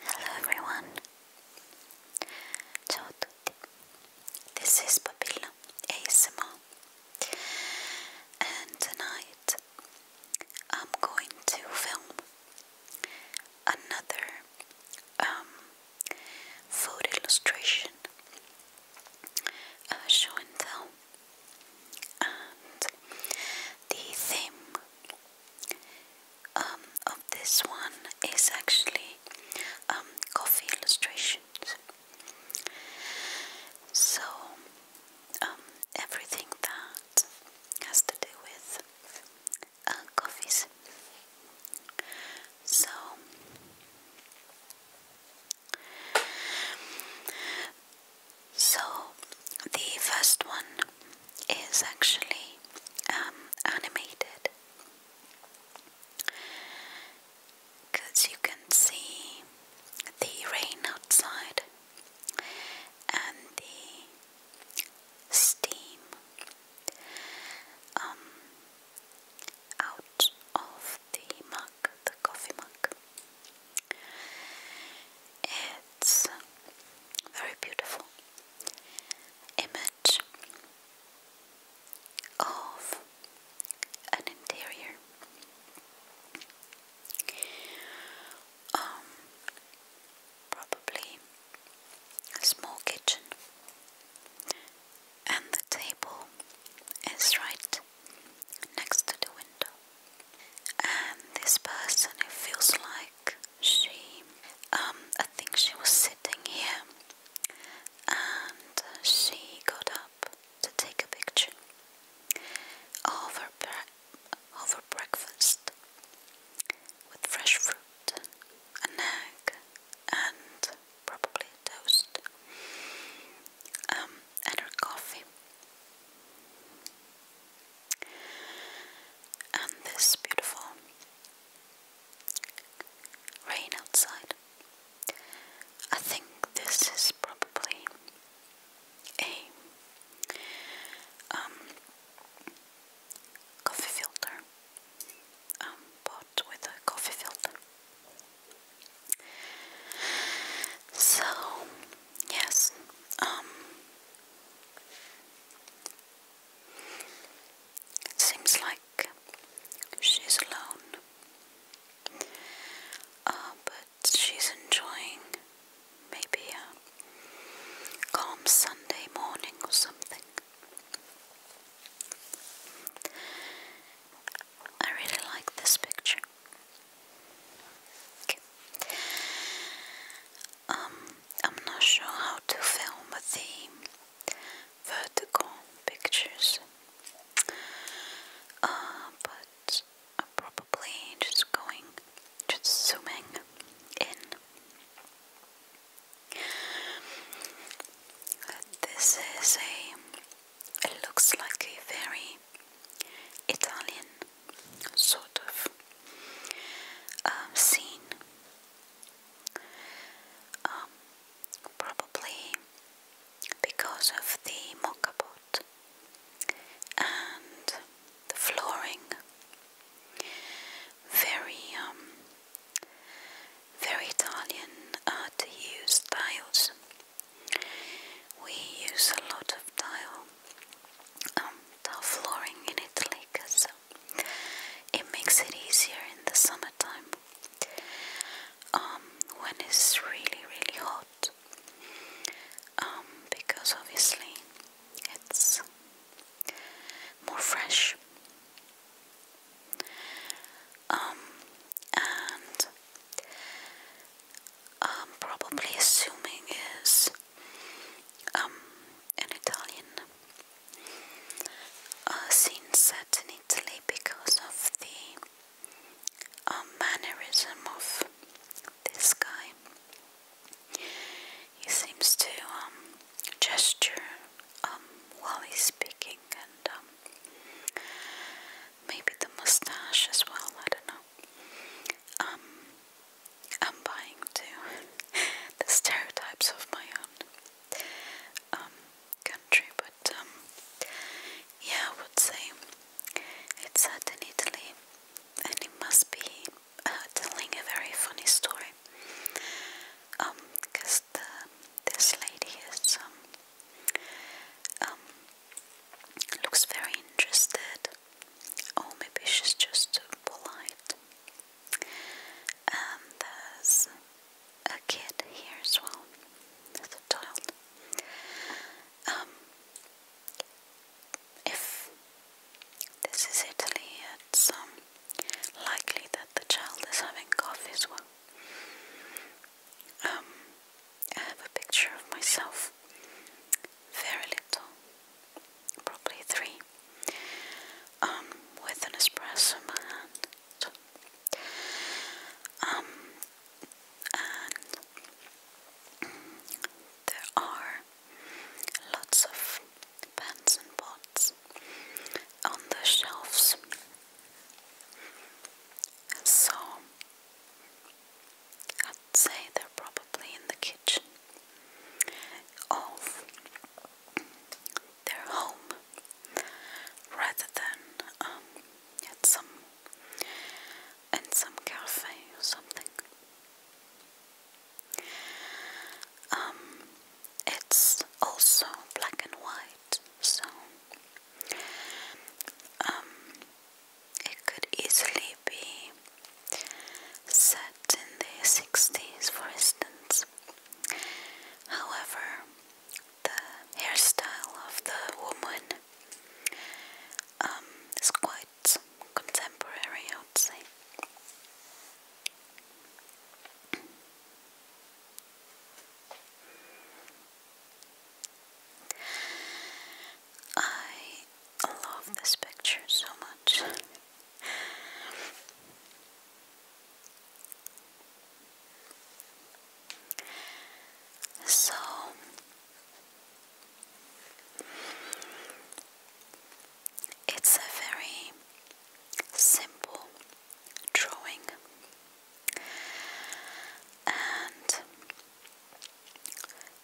Hello everyone. Ciao tutti. This is Papilla ASMR. And tonight I'm going to film another food um, illustration uh, show and tell, and the theme um, of this one is actually um, coffee illustrations. So um, everything that has to do with uh, coffees. So so the first one is actually um, animated because you can see the rain outside and the steam um, out of the mug, the coffee mug. It's very beautiful image of an interior. Um, probably a small kitchen, and the table is right next to the window. And this person, it feels like she, um, I think she was sitting here and she got up to take a picture over, her, breakfast with fresh fruit, an egg, and probably toast, um, and her coffee. And this beautiful rain outside. I think this is probably a um, coffee filter um, with a coffee filter. So, yes, um, it seems like she's alone, uh, but she's enjoying maybe a calm Sunday morning or something. I really like this picture. Um, I'm not sure how to film the vertical pictures, uh, but I'm probably just going, just zooming in. This is a it looks like a very Italian sort of um, scene. Um, probably because of the moka pot and the flooring. Very, um, very Italian uh, use tiles. We use a lot of tile, um, tile flooring in Italy because uh, it makes it easier in the summertime um, when it's really, really hot. Um, because obviously it's more fresh um, and um, probably assuming is um, an Italian a uh, scene set in Italy because of the um, mannerism of this guy. He seems to um, gesture um, while he's speaking, and um, maybe the mustache as well, I don't know. Um, I'm buying to the stereotypes of my own um, country, but um, yeah, I would say it's set in Italy and it must be uh, telling a very funny story. because this lady is Looks very interested. Oh, maybe she's just polite. there's a kid here as well. There's child. Um, if this is Italy, it's um, likely that the child is having coffee as well. Um, I have a picture of myself, very little, probably three, um, with an espresso in my hand. Um, and there are lots of pans and pots on the shelves. So I'd say they're probably in the kitchen of their home rather than um, some in some cafe or something. Um, it's also black and white, so um, it could easily be set in the 60s, for instance. However, the hairstyle of the woman um, is quite contemporary, I would say. I love this picture so much. So it's a very simple drawing, and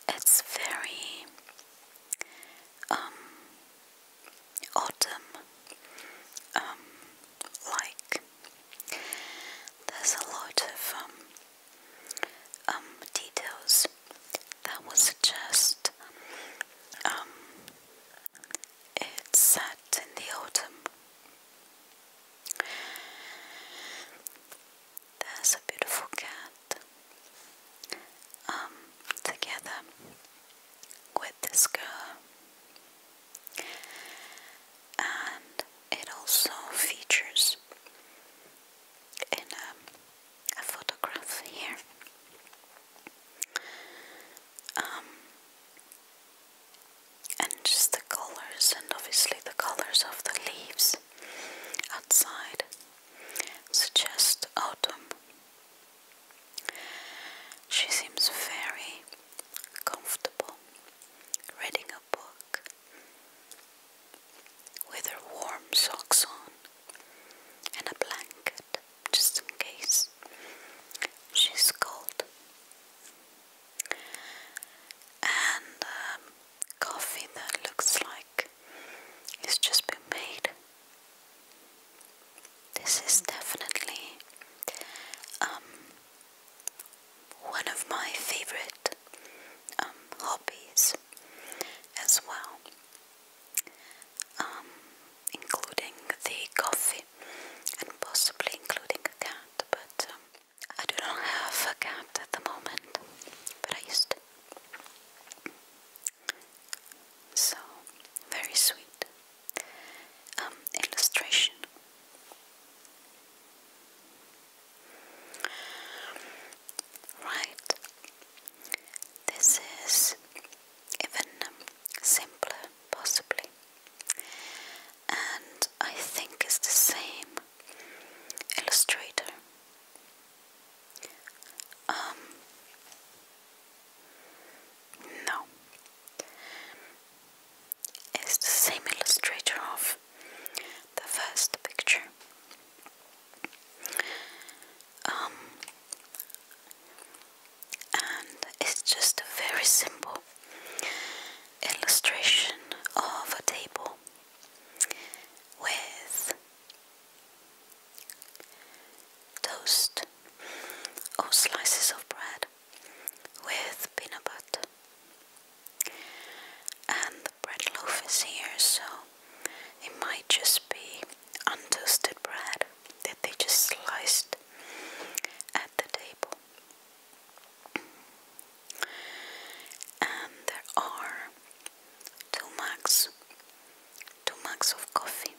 it's very um, autumn um, like. There's a lot of um, details that would suggest it's set in the autumn. There's a beautiful cat um, together with this girl, and it also features in a, photograph here. Um, and just the colors, and obviously the colors of the leaves outside suggest autumn. She seems very comfortable reading a book with her warm socks on and a blanket just in case she's cold and um, coffee that looks like it's just been made. This is definitely um, one of my favorite um, hobbies as well, including the coffee and possibly including a cat, but. I do not have a cat at the moment, but I used to. So, very sweet. Um, illustration. Right. This is even simpler, possibly. And I think it's the same illustrator. Um, no, it's the same illustrator of the first picture. Um, and it's just a very simple illustration of a table with toast or oh, slices of bread with peanut butter. And the bread loaf is here, so it might just be untoasted bread that they just sliced at the table and there are two mugs, two mugs of coffee.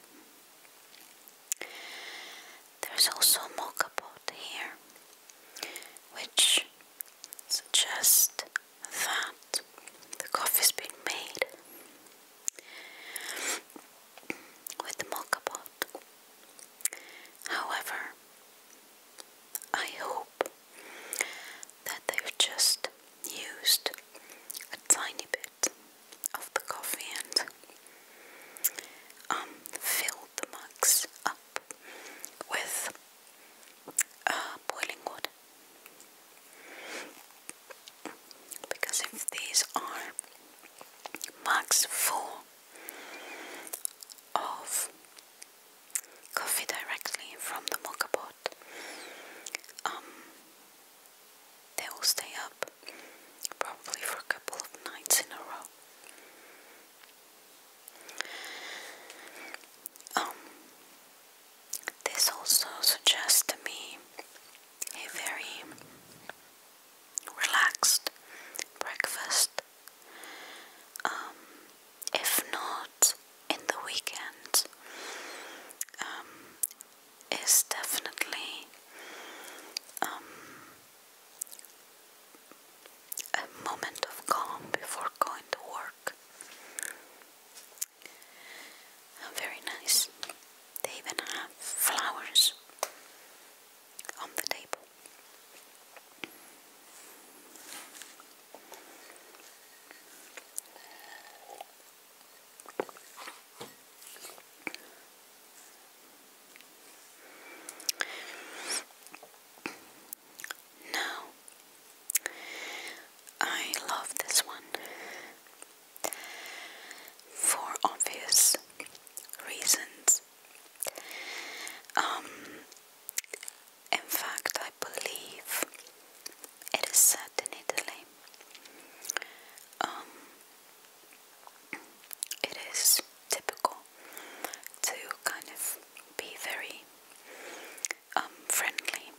There's also a mocha here, which suggests that the coffee's been made with the mocha However, I hope that they've just used a tiny bit of the coffee and um, filled the mugs up with uh, boiling water. Because if these are mugs full of coffee directly from the mocha pot, um, they will stay up probably for a couple of nights in a row. Um, this also suggests to me a very relaxed breakfast um, if not in the weekend, um, is definitely um, a moment of calm before going to work. Very nice. They even have flowers on the table. Now, I love this one for obvious reasons. Um, in fact, I believe it is set in Italy. Um, it is typical to kind of be very um, friendly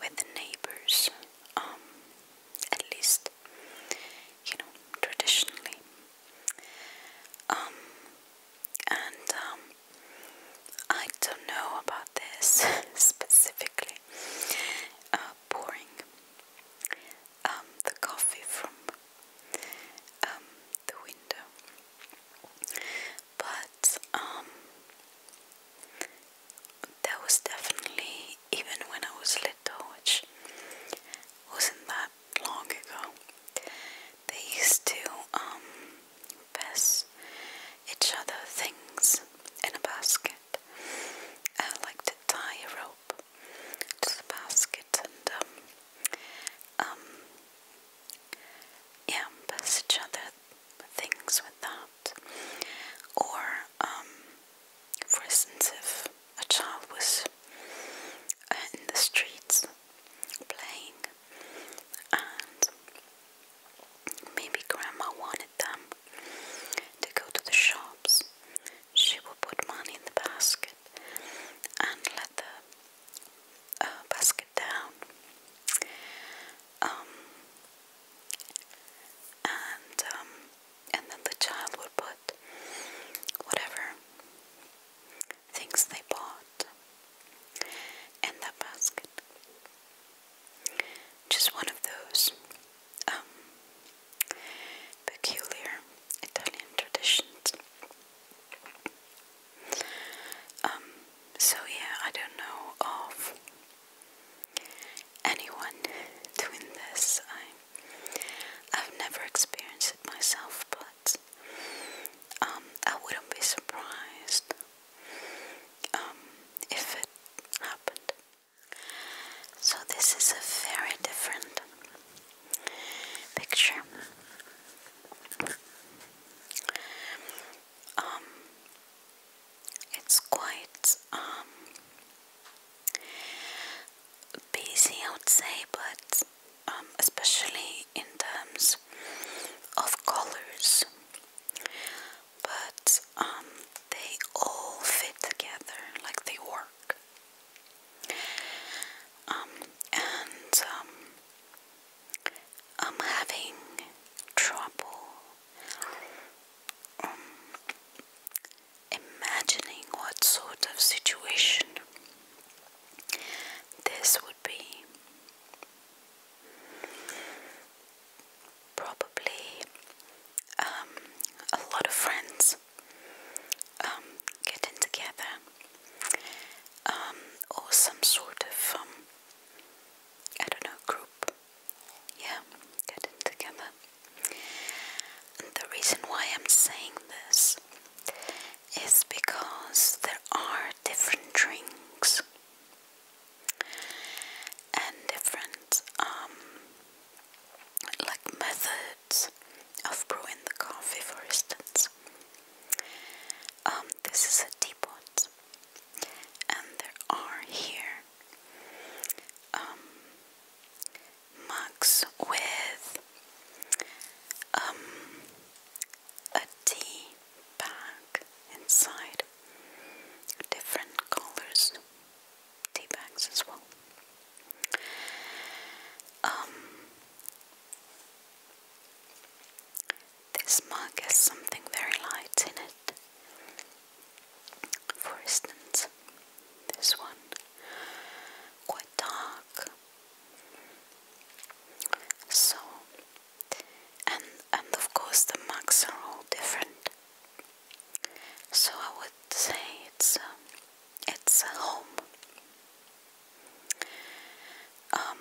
with the neighbors, um, at least, you know, traditionally. and I don't know about this specifically. Uh, pouring um, the coffee from um, the window, but um, that was definitely even when I was little, which wasn't that long ago. They used to pass um, each other things in a basket. I like to tie a rope to the basket and um, um yeah, pass each other things with that. Or um for instance if a child was uh, in the streets playing, and maybe grandma wanted them to go to the shops. She would put money in the basket and let the uh, basket down. Um, and um, and then the child would put whatever things they bought and that basket. Just one of those um, peculiar Italian traditions. Um, so, yeah, I don't know of anyone doing this. I've never experienced it myself, but um, I wouldn't be surprised um, if it happened. So this is a very different picture. Um, it's quite um, busy, I would say, but um, especially in terms of colors, but um, they all fit together like they work. Um, and I'm having trouble imagining what sort of situation this would be probably um, a lot of friends um, getting together um, or some sort of I don't know group yeah getting together and the reason why I'm saying this is because there are different drinks and different um, like methods of brewing the coffee for instance. Um, this is a teapot and there are here um, mugs with a tea bag inside, different colors tea bags as well. Um, this mug has something very light in it. For instance, this one, quite dark. So, and and of course the marks are all different. So I would say it's um, it's a home. Um,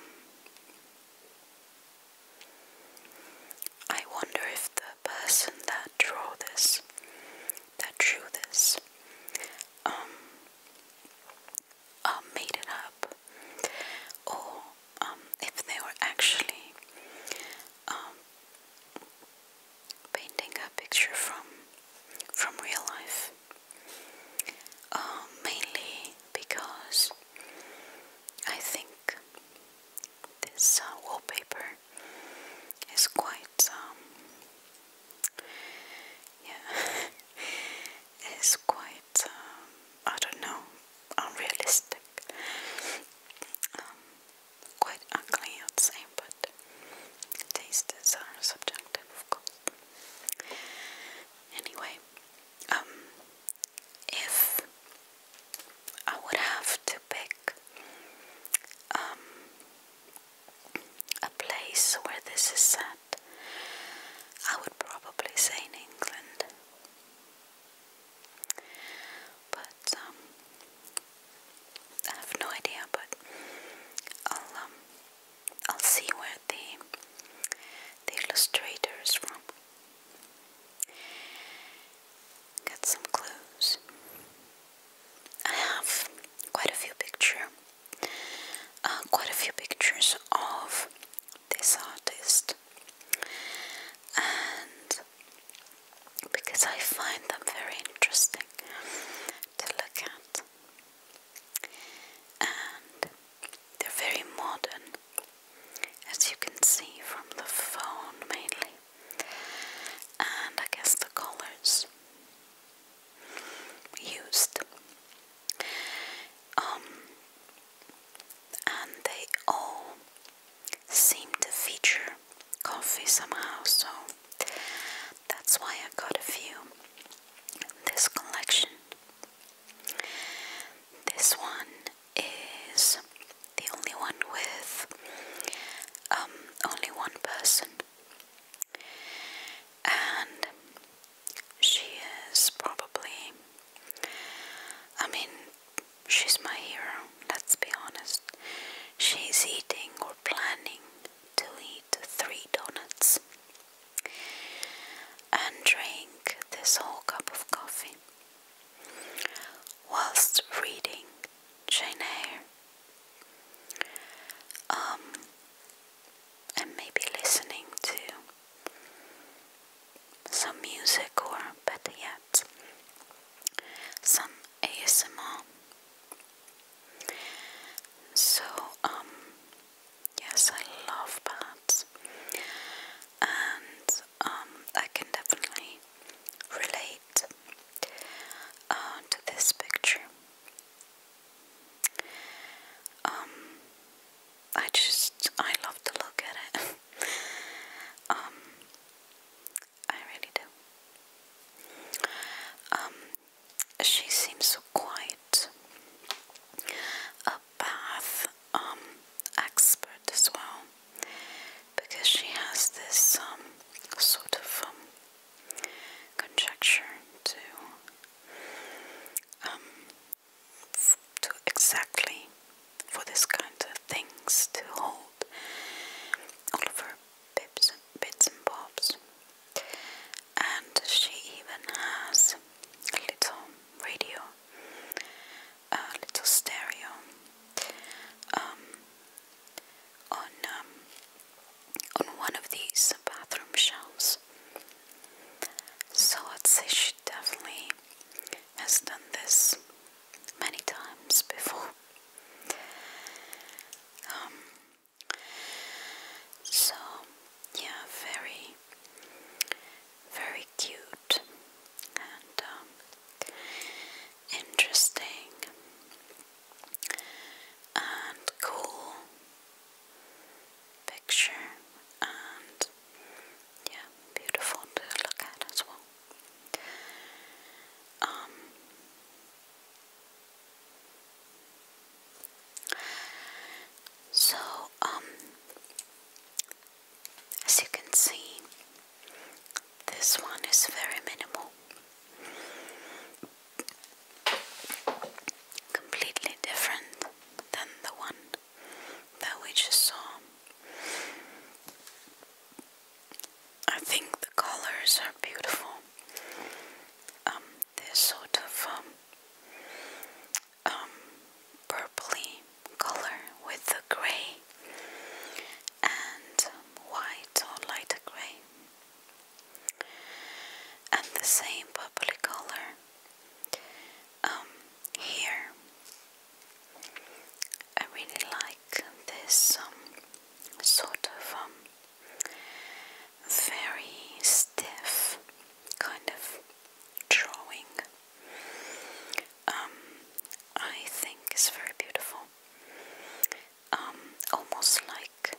I wonder if the person that drew this, that drew this, um, uh, made it up, or um, if they were actually um, painting a picture from from real life. mainly because I think this uh, wallpaper is quite, yeah, is quite, um, I don't know, unrealistic. Um, quite ugly, I'd say, but tastes are subjective, of course. Anyway, um, if I would have to pick a place where this is set, I would probably say in England. But um, I have no idea. But I'll um, I'll see where the the illustrator is from. Get some clues. I have quite a few pictures, uh, quite a few pictures of this artist and because I find them very interesting to look at and they're very modern as you can see from the phone mainly and I guess the colors used um, and they all seem to feature coffee somehow, so that's why I got a few this collection. This one is the only one with um, only one person, and she is probably, I mean, she's my hero, let's be honest. She's eating or planning to eat three donuts and drink this whole cup of coffee whilst reading Jane Eyre. Um, and maybe listening to some music, or better yet, some ASMR. So, um, yes, I love baths, and um, I can definitely relate uh, to this picture. Um, I just I love to look at it. um, I really do. Um, she seems so quiet. A bath um expert as well, because she has this um sort of um conjecture to um to exactly for this kind of things to hold all of her bits and, bits and bobs. And she even has a little radio, a little stereo um, on um, on one of these bathroom shelves. So I'd say she definitely has done this many times before. Um, so, yeah, very, very cute and um, interesting and cool picture and yeah, beautiful to look at as well. Um, so, um, as you can see, this one is very minimal, completely different than the one that we just saw. I think the colors are beautiful. Um, this sort of um, um, purpley color with the grey and white or lighter grey, and the same purpley color um, here I really like this um, sort of um, very stiff kind of drawing. I think it's very beautiful. almost like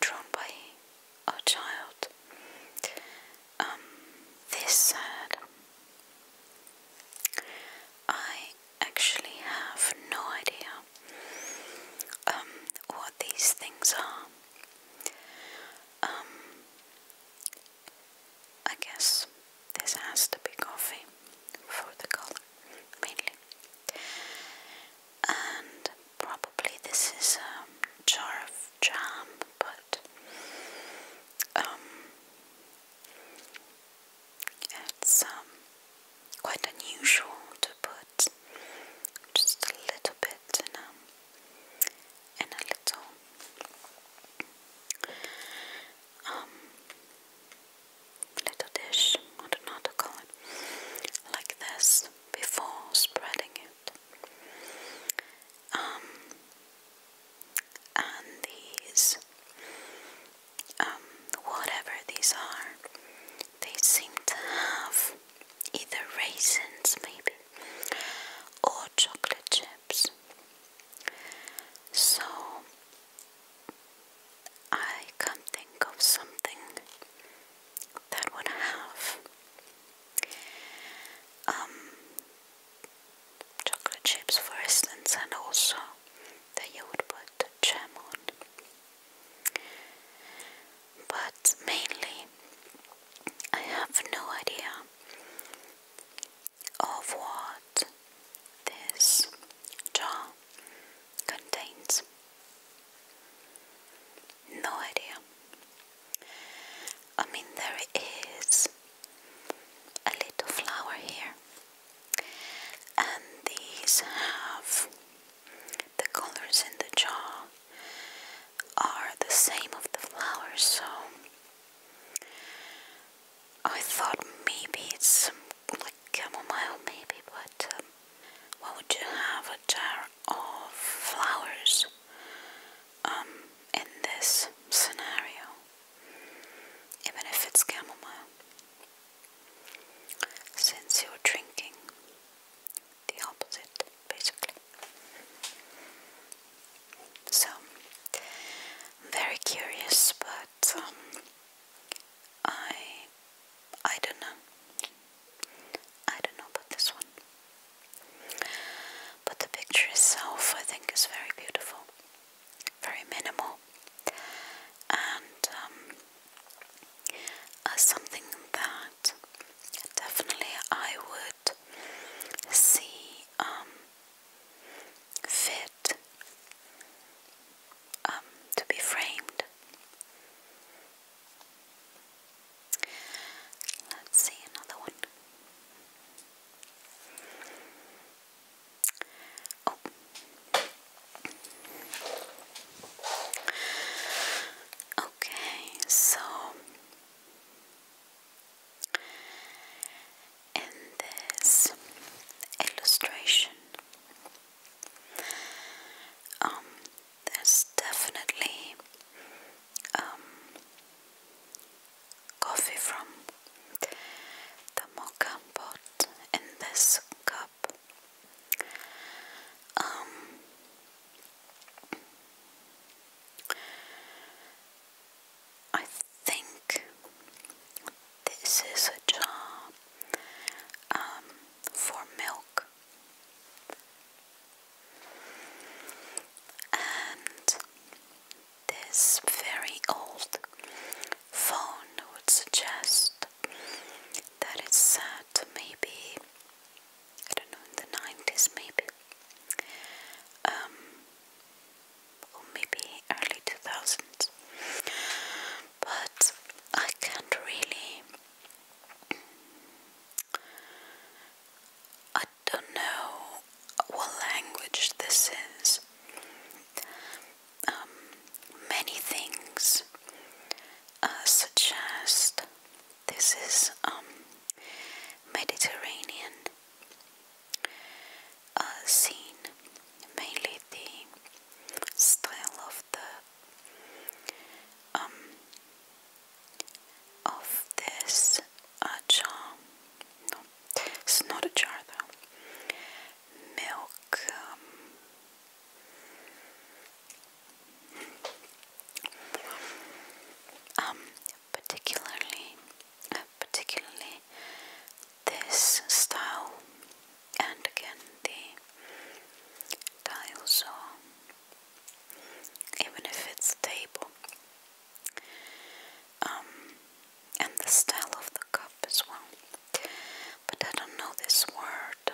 drawn by our child. Um, this said, I actually have no idea um, what these things are. Um, I guess this has to be coffee for the color mainly, and probably this is a jar of jam but um, it's um, quite unusual to put just a little bit in a, little um, little dish, I don't know how to call it, like this before spreading um, and these, um, whatever these are, they seem to have either raisins, maybe, or chocolate chips. So, I can't think of something that would have um, chocolate chips, for instance, and also that you would put jam on. But mainly, I have no idea of what this jar contains. No idea. I mean, there is a little flower here, and these have the colors in the jar are the same of the flowers, so I thought maybe it's like chamomile, maybe, but um, why would you have a jar of flowers um, in this scenario, even if it's chamomile. Since you're drinking the opposite, basically. So, I'm very curious, but um, I, I don't know. I don't know about this one. But the picture itself, I think, is very beautiful, very minimal, and um, uh, something that definitely I would see um, fit um, to be framed. Let's see another one. Oh. Okay, so in this illustration, um, there's definitely um, coffee from the mocha pot in this cup. Um, I think this is a jar um, for milk. And this very old phone would suggest that it's set maybe, I don't know, in the 90s maybe, um, or maybe early 2000s. But I can't really don't know what language this is. Um, many things uh, suggest this is um, Mediterranean uh, scene, mainly the style of the um, of this jar. No, it's not a jar though. Milk. Um, um particularly, uh, particularly this style, and again the tiles, or even if it's a table, um, and the style of the cup as well. But I don't know this word,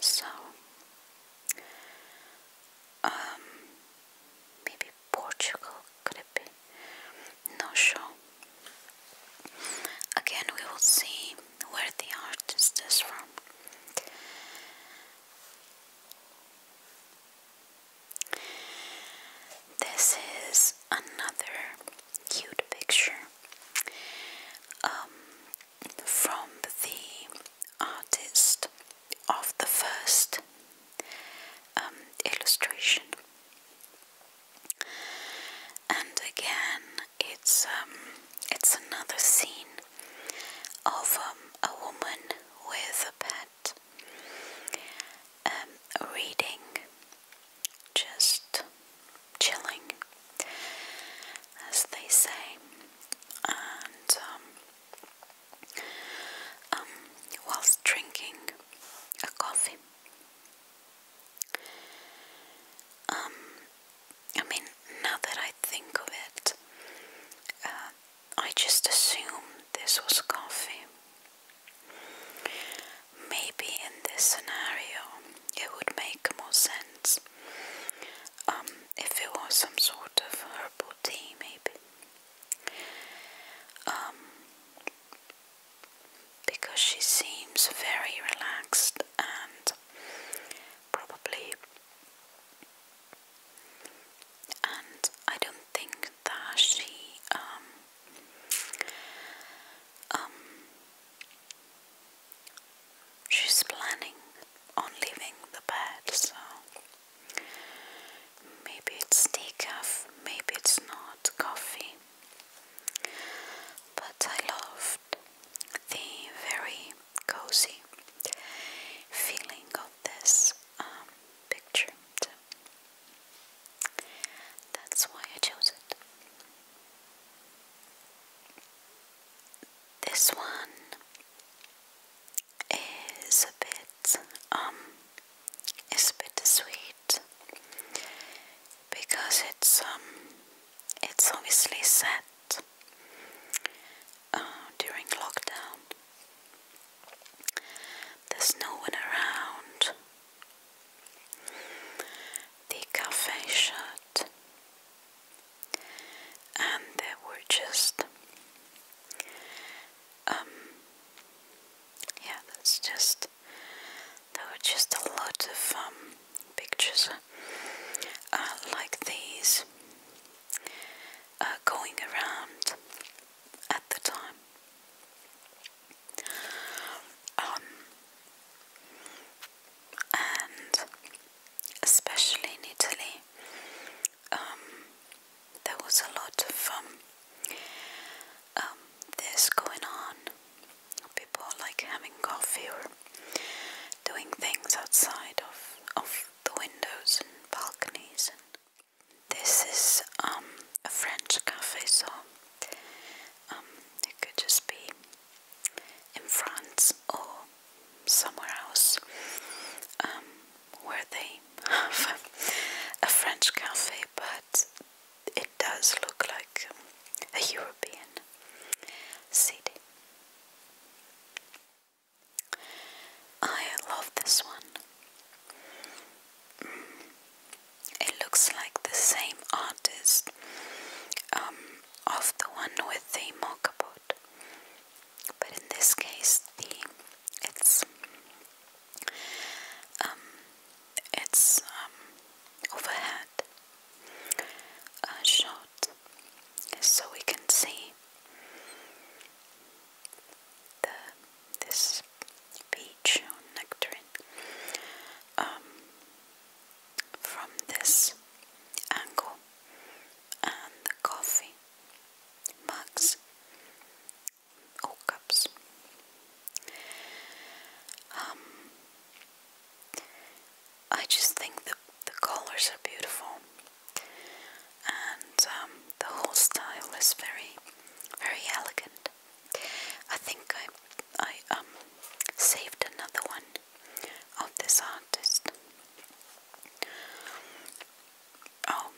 so um, maybe Portugal could it be? No sure. Again, we will see where the artist is from. This is another cute picture um, from the artist of the first um, illustration. And again, it's um, it's another scene of um, a woman with a pet um, reading, just chilling, as they say, and um, whilst drinking a coffee. I mean, now that I think of it, uh, I just assumed this was coffee. Maybe in this scenario it would make more sense um, if it was some sort of herbal tea, maybe. Um, because she seems very relaxed and probably and I don't think that she um um she's planning on leaving the bed so maybe it's decaf, maybe it's not coffee. But I loved the very cozy feeling of this um, picture. that's why I chose it. This one is a bit um is a bit sweet because it's um it's obviously sad during lockdown. There's no one around. The cafe shut, and there were just um yeah, that's just there were just a lot of um pictures uh, like these uh, going around at the time. Um, and especially in Italy, um, there was a lot of um, this going on. People like having coffee or doing things outside of of the windows and balconies. And this is um, a French cafe, so um, it could just be in France or somewhere else um, where they have a French cafe, but it does look like a European city. I love this one. It looks like the same artist um, of the one with the mockabot, but in this case, the it's um, it's um, overhead uh, shot, so we can see the this peach or nectarine um, from this angle and the coffee mugs or cups. Um, I just think the the colors are beautiful and um, the whole style is very, very elegant. I think I, I um, saved another one of this artist. Oh,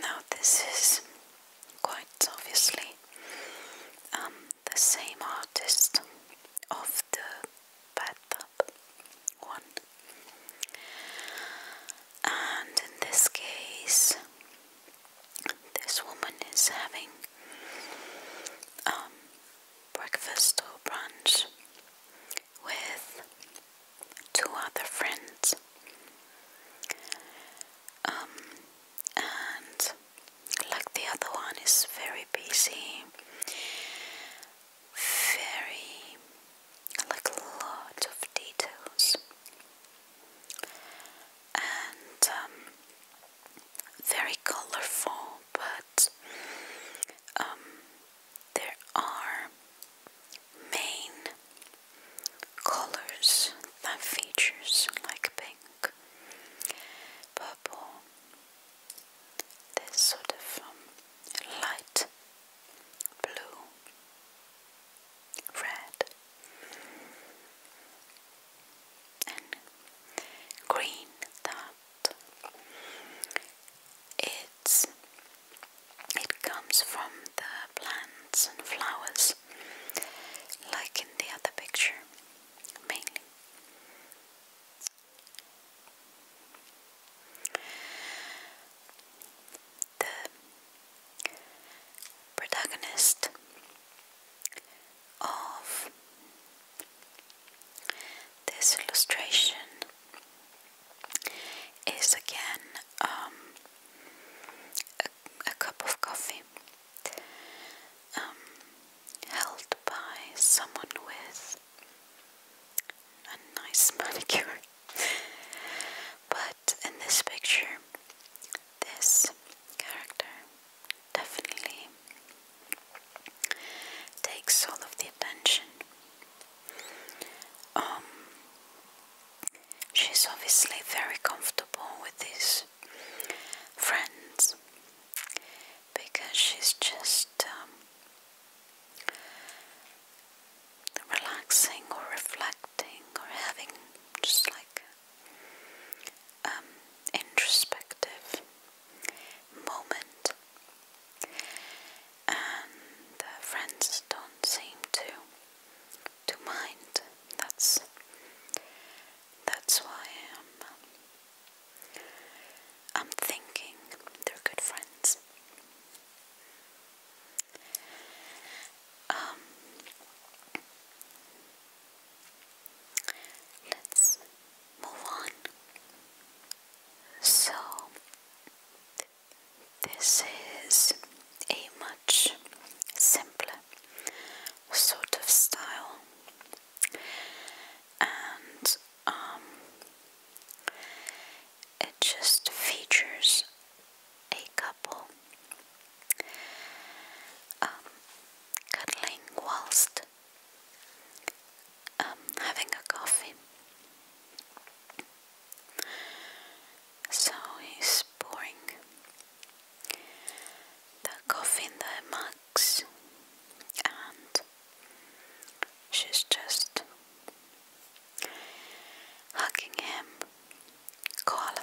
now this is quite obviously um, the same artist of the bathtub one. And in this case, this woman is having um, breakfast or brunch with two other friends. Um, and like the other one is very busy very like a lot of details and um, very colorful but um, there are main colors that features like pink, purple, this sort of um, light blue, red, and green that it's it comes from the plants and flowers like in the other picture mainly the protagonist of this illustration is again um, a, cup of coffee um, held by someone with a nice manicure. but in this picture, this character definitely takes all of the attention. Um, she's obviously very comfortable with these friends because she's just um, relaxing or reflecting or having just like um, introspective moment. And the friends don't seem to to mind. That's that's why I'm I'm thinking they're good friends. Um, let's move on. So, this is a much simpler sort of style, and um, it just features a couple um, cuddling whilst um, having a coffee. So he's pouring the coffee in the mugs and She's just hugging him koala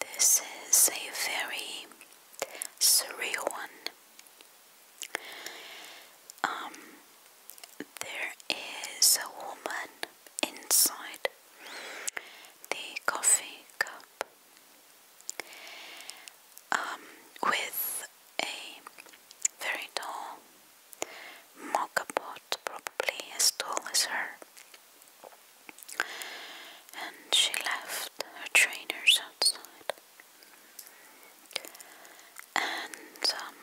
This is a very surreal one. Um, there is a woman inside the coffee cup um, with a very tall Mockabot, probably as tall as her. And she left her trainers outside. And um,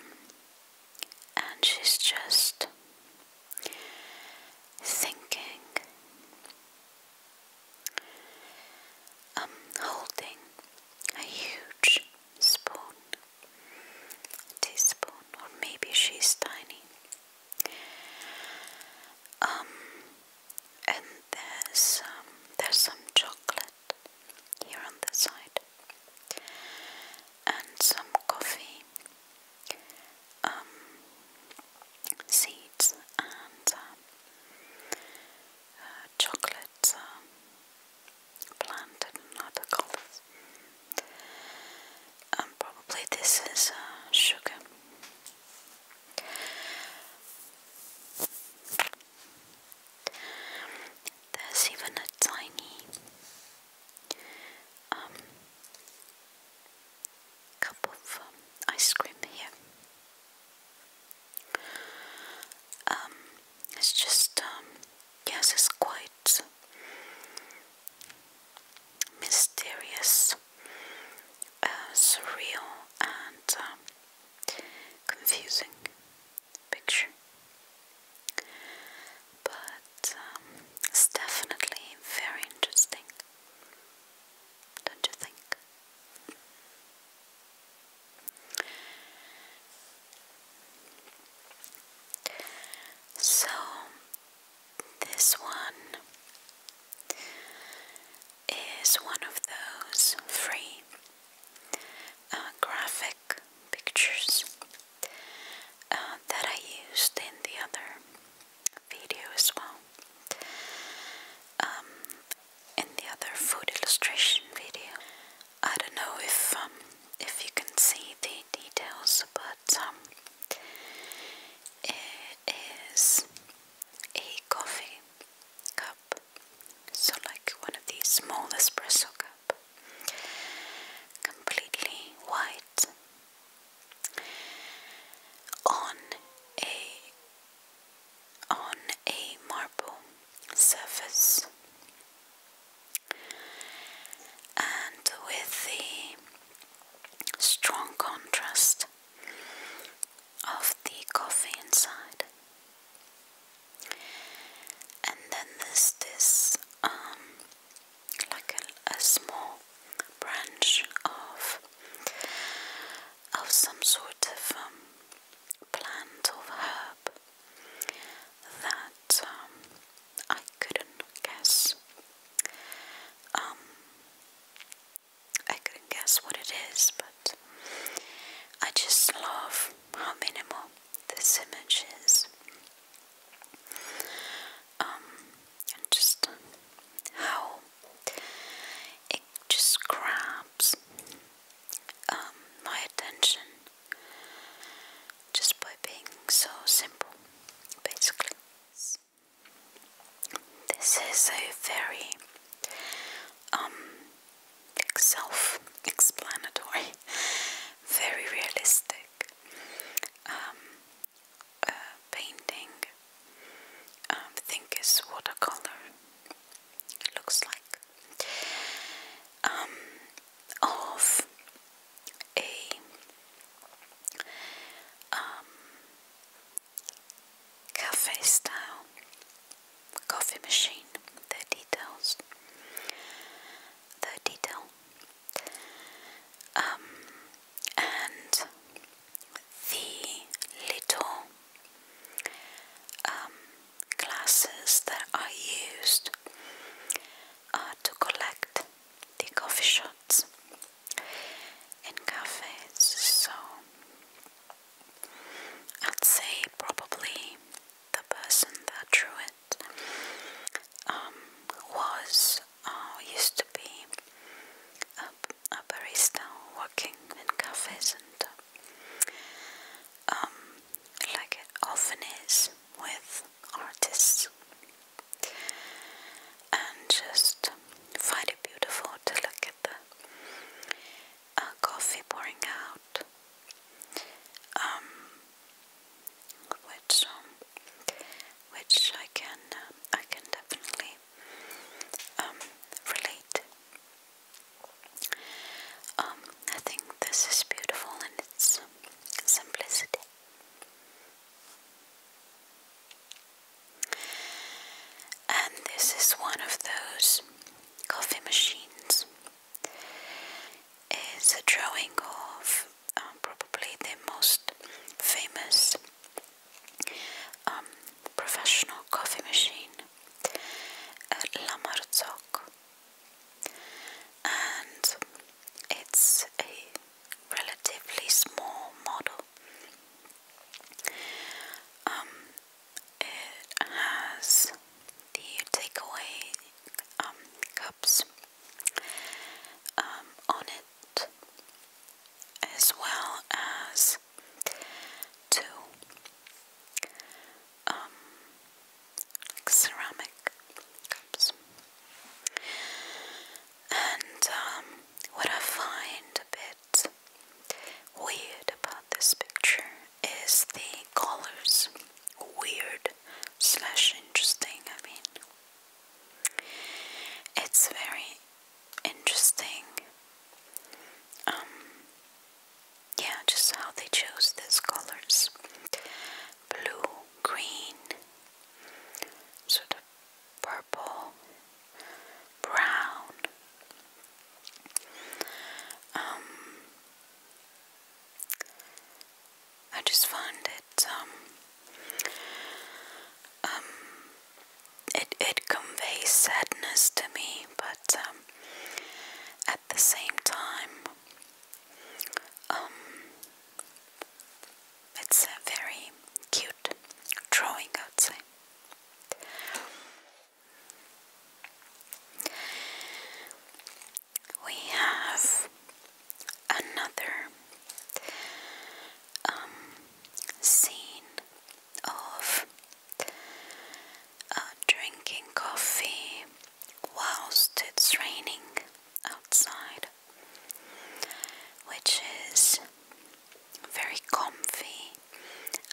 and she's just thinking, um, holding a huge spoon, teaspoon, or maybe she's tiny. Um, and there's um, there's some chocolate here on the side, and some coffee, um, seeds, and um, uh, chocolate. Um, planted in other colors. And probably this is uh, sugar. There's even a tiny um, cup of um, ice cream here. Um, it's just, um, yes, it's quite mysterious, uh, surreal, and um, confusing picture. But it's definitely very interesting, don't you think? So, this one is one of those free uh, graphic pictures uh, that I used in the other video as well. Um, in the other food illustration video, I don't know if um, if you can see the details, but um, it is a coffee cup, so like one of these small espresso cup, completely white, on a on a marble surface and with the strong contrast of the coffee inside. And then there's this um, like a, small branch of of some sort of um, plant or herb that um, I couldn't guess. Um, I couldn't guess what it is, but I just love how minimal this image is. Um, and just how it just grabs my attention just by being so simple, basically. This is a very um, self-explanatory, very realistic um, uh, painting. I um, think is watercolor. It looks like um, of a um, cafe style coffee machine. The details, the detail, um, and the little glasses that are used uh, to collect the coffee shots in cafes. So I'd say probably the person that drew it um, was uh, used to be a, a barista working in cafes and. Uh, um, like it often is with artists, and just find it beautiful to look at the uh, coffee pouring out, um, which um, which I can uh, I can definitely um, relate um, I think this is beautiful in its simplicity. And this is one of those coffee machines. It's a drawing of um, probably the most famous um, professional coffee machine, uh, La and it's a relatively small model. Um, it has the takeaway um, cups um, on it, as well as two um, ceramic cups. And um, what I find a bit weird about this picture is the colors. Weird slash interesting, I mean. It's very interesting. Um, yeah, just how they chose these colors blue, green, sort of purple, brown. Um, I just find it, um, um, it, it conveys sadness to me, but um, at the same time, um, it's a very cute drawing, I We have another um, scene of uh, drinking coffee whilst it's raining outside, which is a very comfy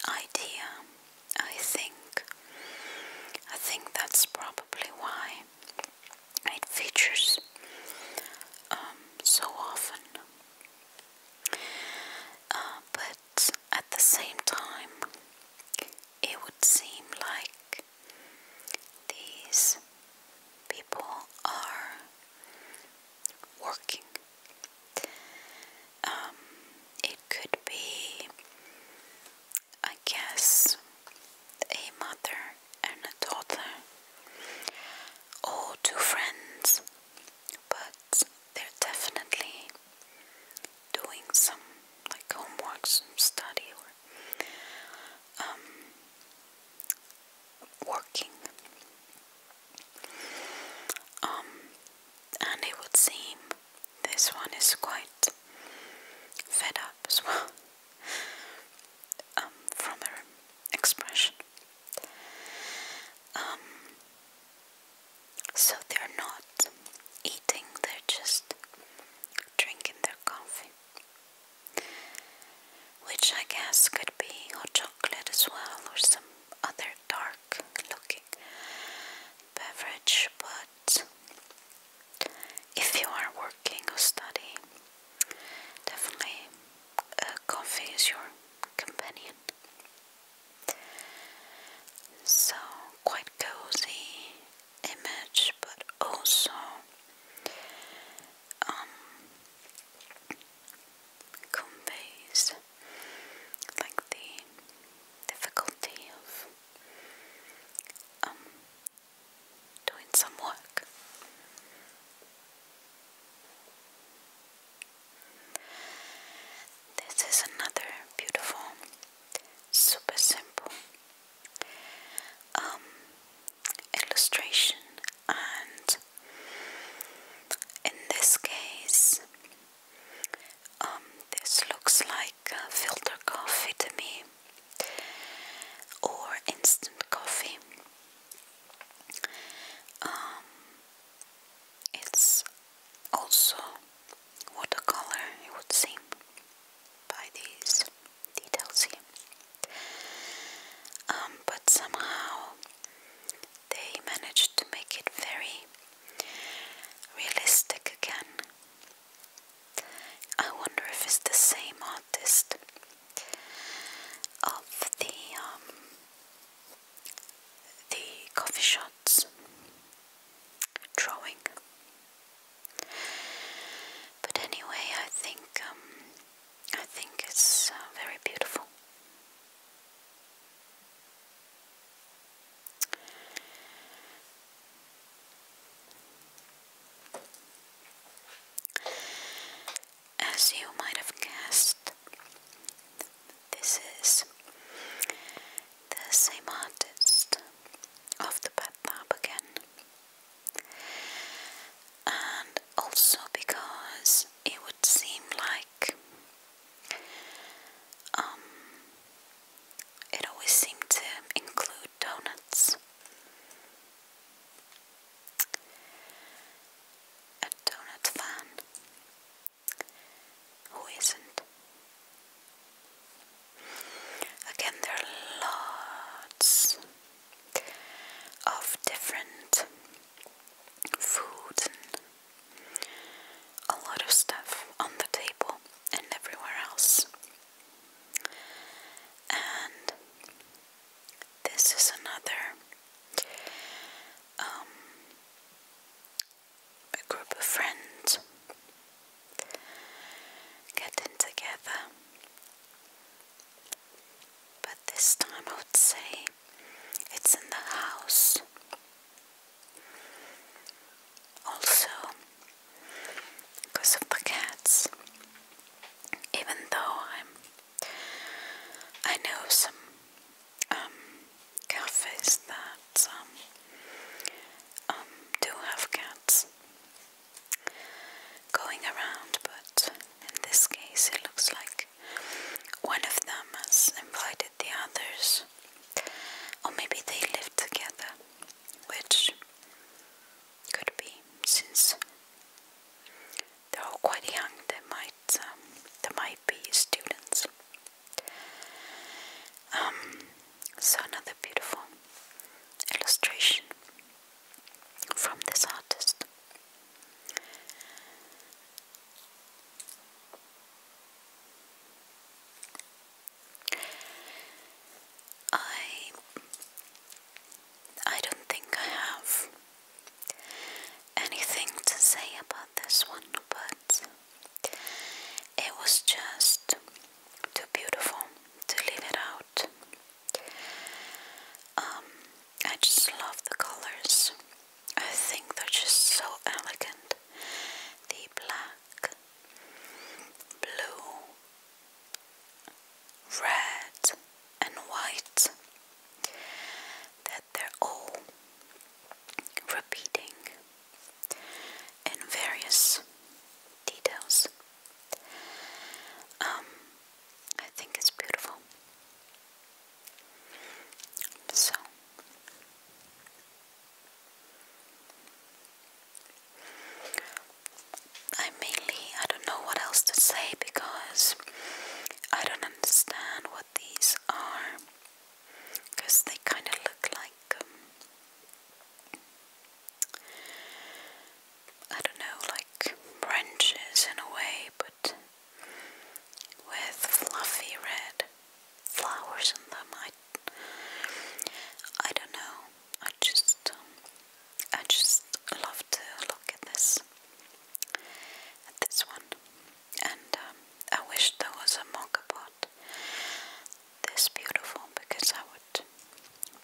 idea, I think. I think that's probably why it features um, so often. Uh, but at the same time, it would seem like these people are working. Um, it could be, I guess, a mother and a daughter, or two friends, but they're definitely doing some like homework, some study, or um, working. Um, and it would seem this one is quite fed up as well um, from her expression. so they're not eating, they're just drinking their coffee, which I guess could be hot chocolate as well or some other dark looking beverage. But if you are working or studying, definitely uh, coffee is your companion. So, quite cozy image, but also um, conveys like the difficulty of um, doing some work. This is another beautiful, super simple um, illustration, and in this case, um, this looks like filter coffee to me, or instant coffee. Um, it's also watercolor, it would seem, by these details here. Um, but somehow they managed to make it very realistic again. I wonder if it's the same artist of the um, the coffee shots drawing. But anyway, I think um, I think it's uh, very beautiful. As you might have guessed, this is the same artist of the bathtub again and also because it would seem like um, it always seemed to include donuts. A donut fan. Who isn't? Again, there are lots of different food a lot of stuff on the table and everywhere else. And this is another um, group of friends getting together. But this time I would say it's in the house. Also, because of the cats, even though I'm, I know some um, cafes that um, um, do have cats, going around, but in this case it looks like one of them has invited the others, or maybe they live together, which could be since they're all quite young. They might, um, they might be students. Um, so another beautiful illustration from this artist. I I don't think I have anything to say about this one, but it was just too beautiful to leave it out. Um, I just love the colors. I think they're just so elegant. The black, blue, red, and white. That they're all repeating in various details. Um, I think it's beautiful. So, I mainly I don't know what else to say because I don't understand what these are because they kind of look like um, I don't know, like branches in a way, but with fluffy red flowers in them. I, I don't know. I just, um, I just love to look at this, at this one, and um, I wish there was a mocha pot this beautiful because I would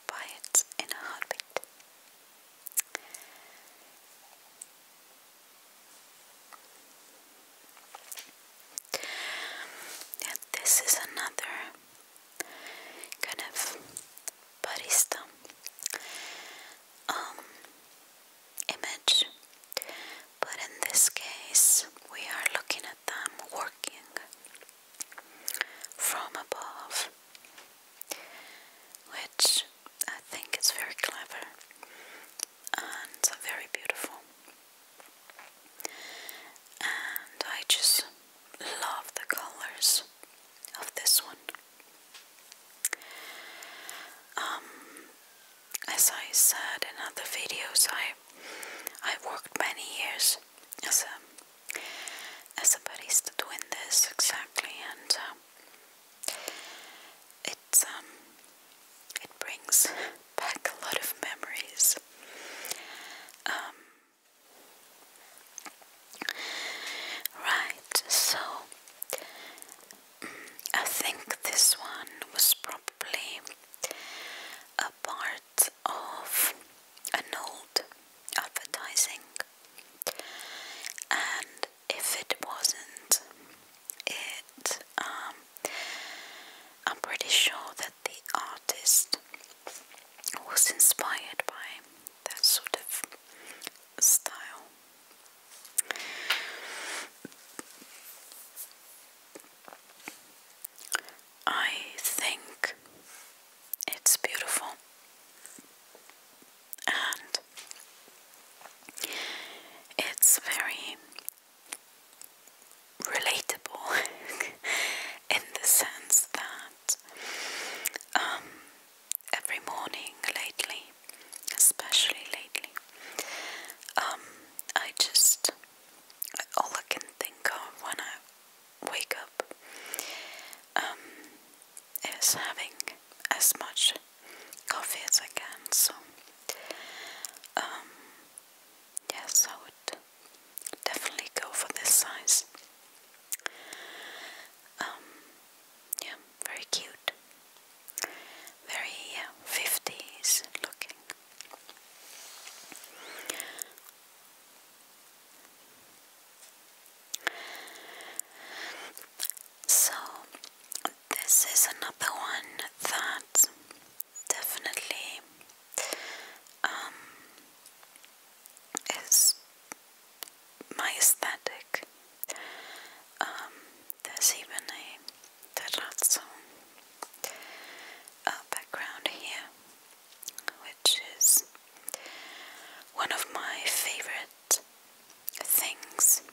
buy it in a heartbeat. And this is another kind of barista um, image, but in this case, we are looking at them working from above, which I think is very clever and very beautiful. And I just love the colors of this one. Um, as I said in other videos, I I worked many years as a as a barista doing this exactly and uh, it um, it brings back a lot of memories um, right so I think this one was probably a part of an old advertising, and if it wasn't, it um, I'm pretty sure that the artist was inspired by that sort of style. I think it's beautiful. And it's very relatable in the sense that um, every morning lately, especially lately, um, I just all I can think of when I wake up um, is having as much coffee as I can. So, um, yes, I would definitely go for this size. Um, yeah, very cute, very yeah, uh, fifties looking. So, this is another one that definitely um, is my um, there's even a terrazzo uh, background here which is one of my favorite things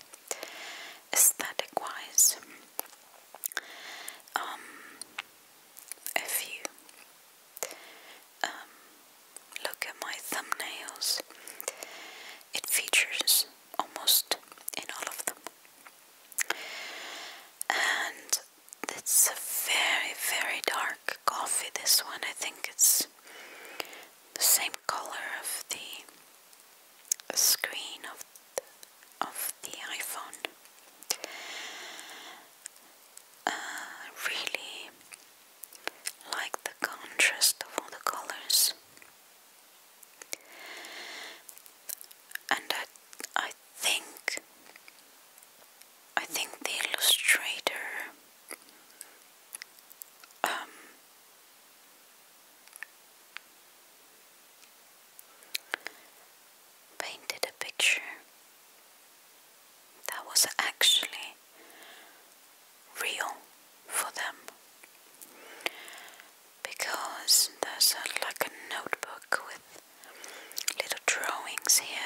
aesthetic wise. Um, if you um, look at my thumbnails, it features almost in all of them. And it's a very, very dark coffee, this one. I think it's the same color of the screen of the, of the iPhone. Uh, really like the contrast of all the colors. And I, I think I think the illustrator um, painted a picture that was actually real for them because there's like a notebook with little drawings here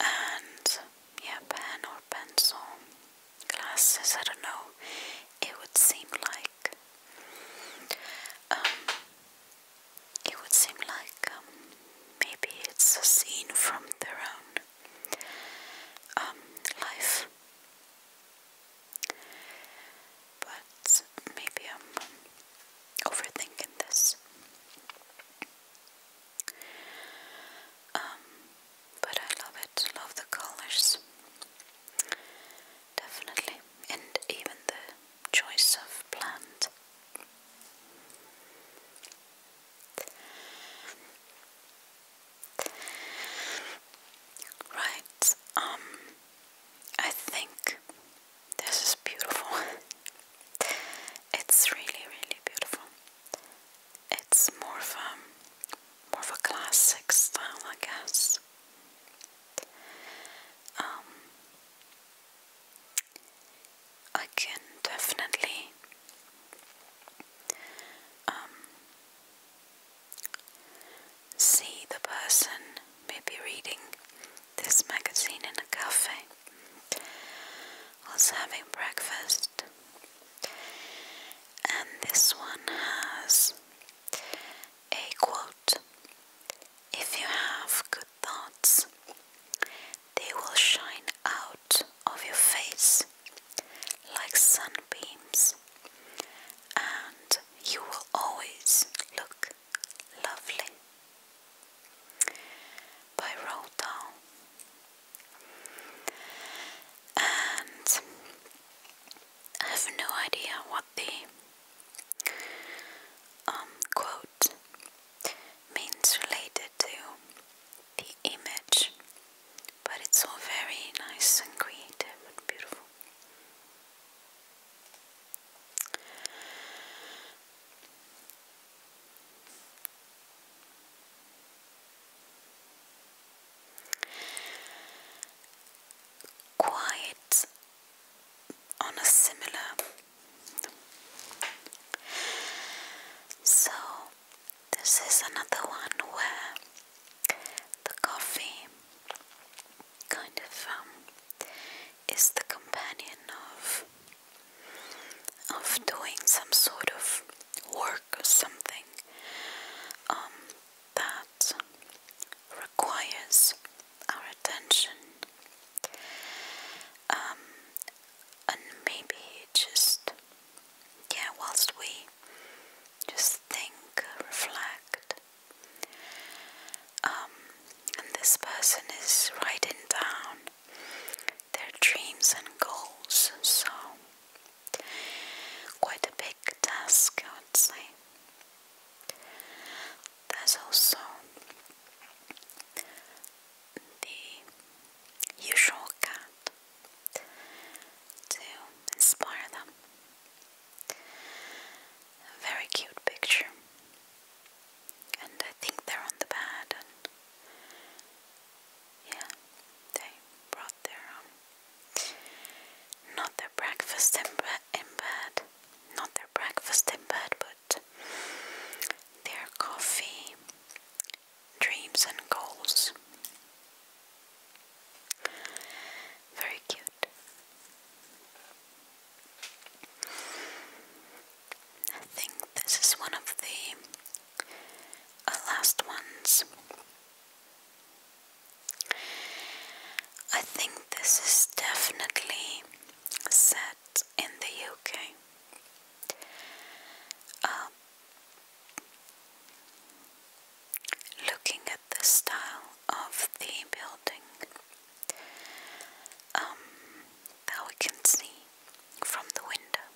and yeah, pen or pencil, glasses, I don't know, it would seem like um, it would seem like um, maybe it's a scene from their own um, life. But maybe I'm overthinking this. Um, but I love it, love the colors. Definitely, and even the choice of plant. Right, um, I think this is beautiful. it's really, really beautiful. It's more of a um, more of a classic style, I guess. Um, I can definitely um, see the person maybe reading this magazine in a cafe. I was having breakfast, and this one has a quote If you have good thoughts, they will shine out of your face like sunbeams, and you will always look Lovely by Roald And I have no idea what the um, quote means related to the image, but it's all very nice and creative and beautiful. Quiet. on a similar. So, this is another one where the coffee kind of um, is the companion of of doing some sort of work or something um, that requires our attention um, and maybe just yeah whilst we just think reflect um, and this person is writing down their dreams and goals. So, quite a big task, I would say. There's also the usual cat to inspire them. very cute picture and I think they're on the bed and yeah, they brought their um, not their breakfast in, in bed, not their breakfast in bed, but their coffee, dreams and goals. Very cute. I think this is one of the uh, last ones. I think this is definitely set in the UK. Um, looking at the style of the building, um, we can see from the window.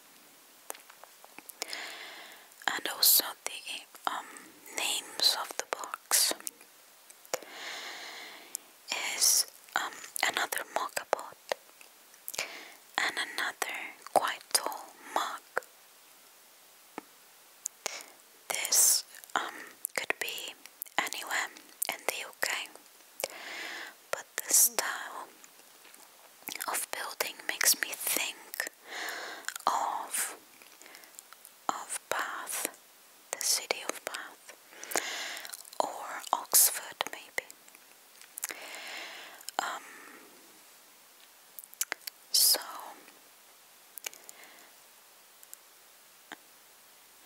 And also the um, names of the box is um, another mug pot and another quite tall mug. This um, could be anywhere in the UK, but the style of building makes me think of of Bath, the city of Bath, or Oxford maybe. Um, so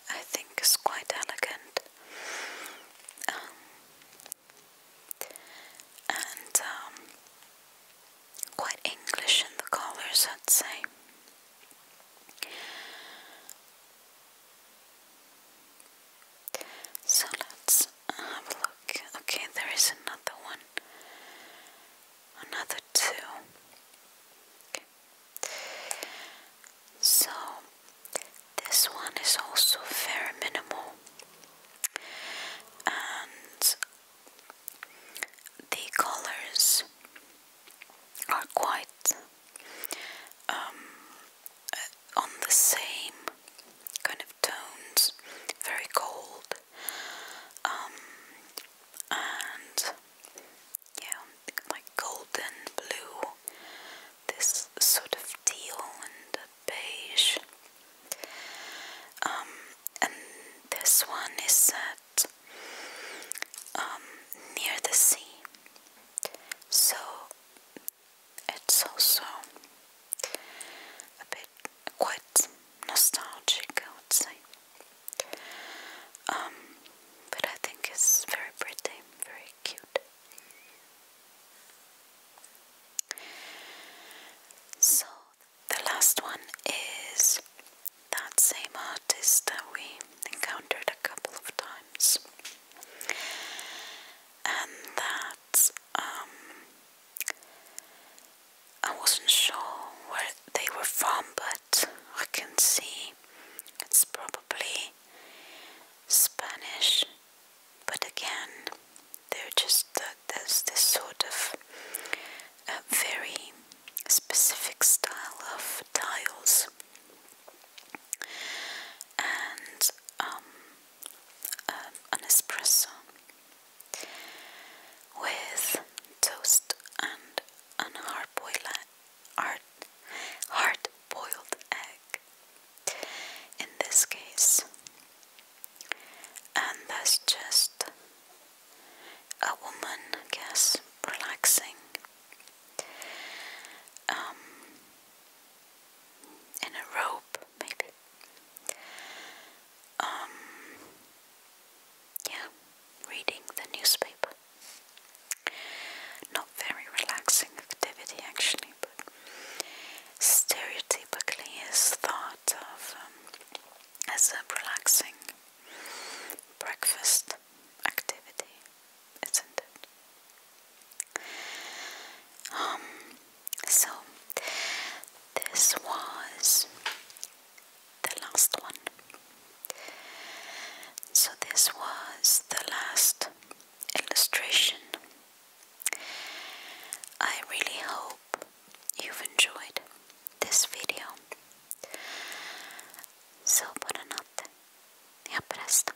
I think it's quite elegant. Um, and um, quite English in the colors, I'd say. So let's have a look. Okay, there is another one, another two. So this one is also very minimal and the colors are quite um, uh, on the same kind of tones, very cold um, and yeah, like golden blue, this sort of teal and beige. Um, and this one is set um, near the sea, so it's also a bit quite nostalgic, I would say. Um, but I think it's very pretty, very cute. So the last one is that same artist that we encountered a couple of times, and that um, I wasn't sure where they were from, but I can see it's probably Spanish, but again, they're just uh, there's this sort of uh, very specific style of tiles, and um, um, an espresso with toast and an hard boiled hard hard boiled egg in this case. And that's just a woman, I guess, relaxing um, in a robe, maybe. Um, yeah, reading the newspaper. Not very relaxing activity actually, but stereotypically is thought of um, as a relaxing breakfast activity, isn't it? Um, so this was the last one. So, this was the last illustration. I really hope you've enjoyed this video. So buonanotte e a presto.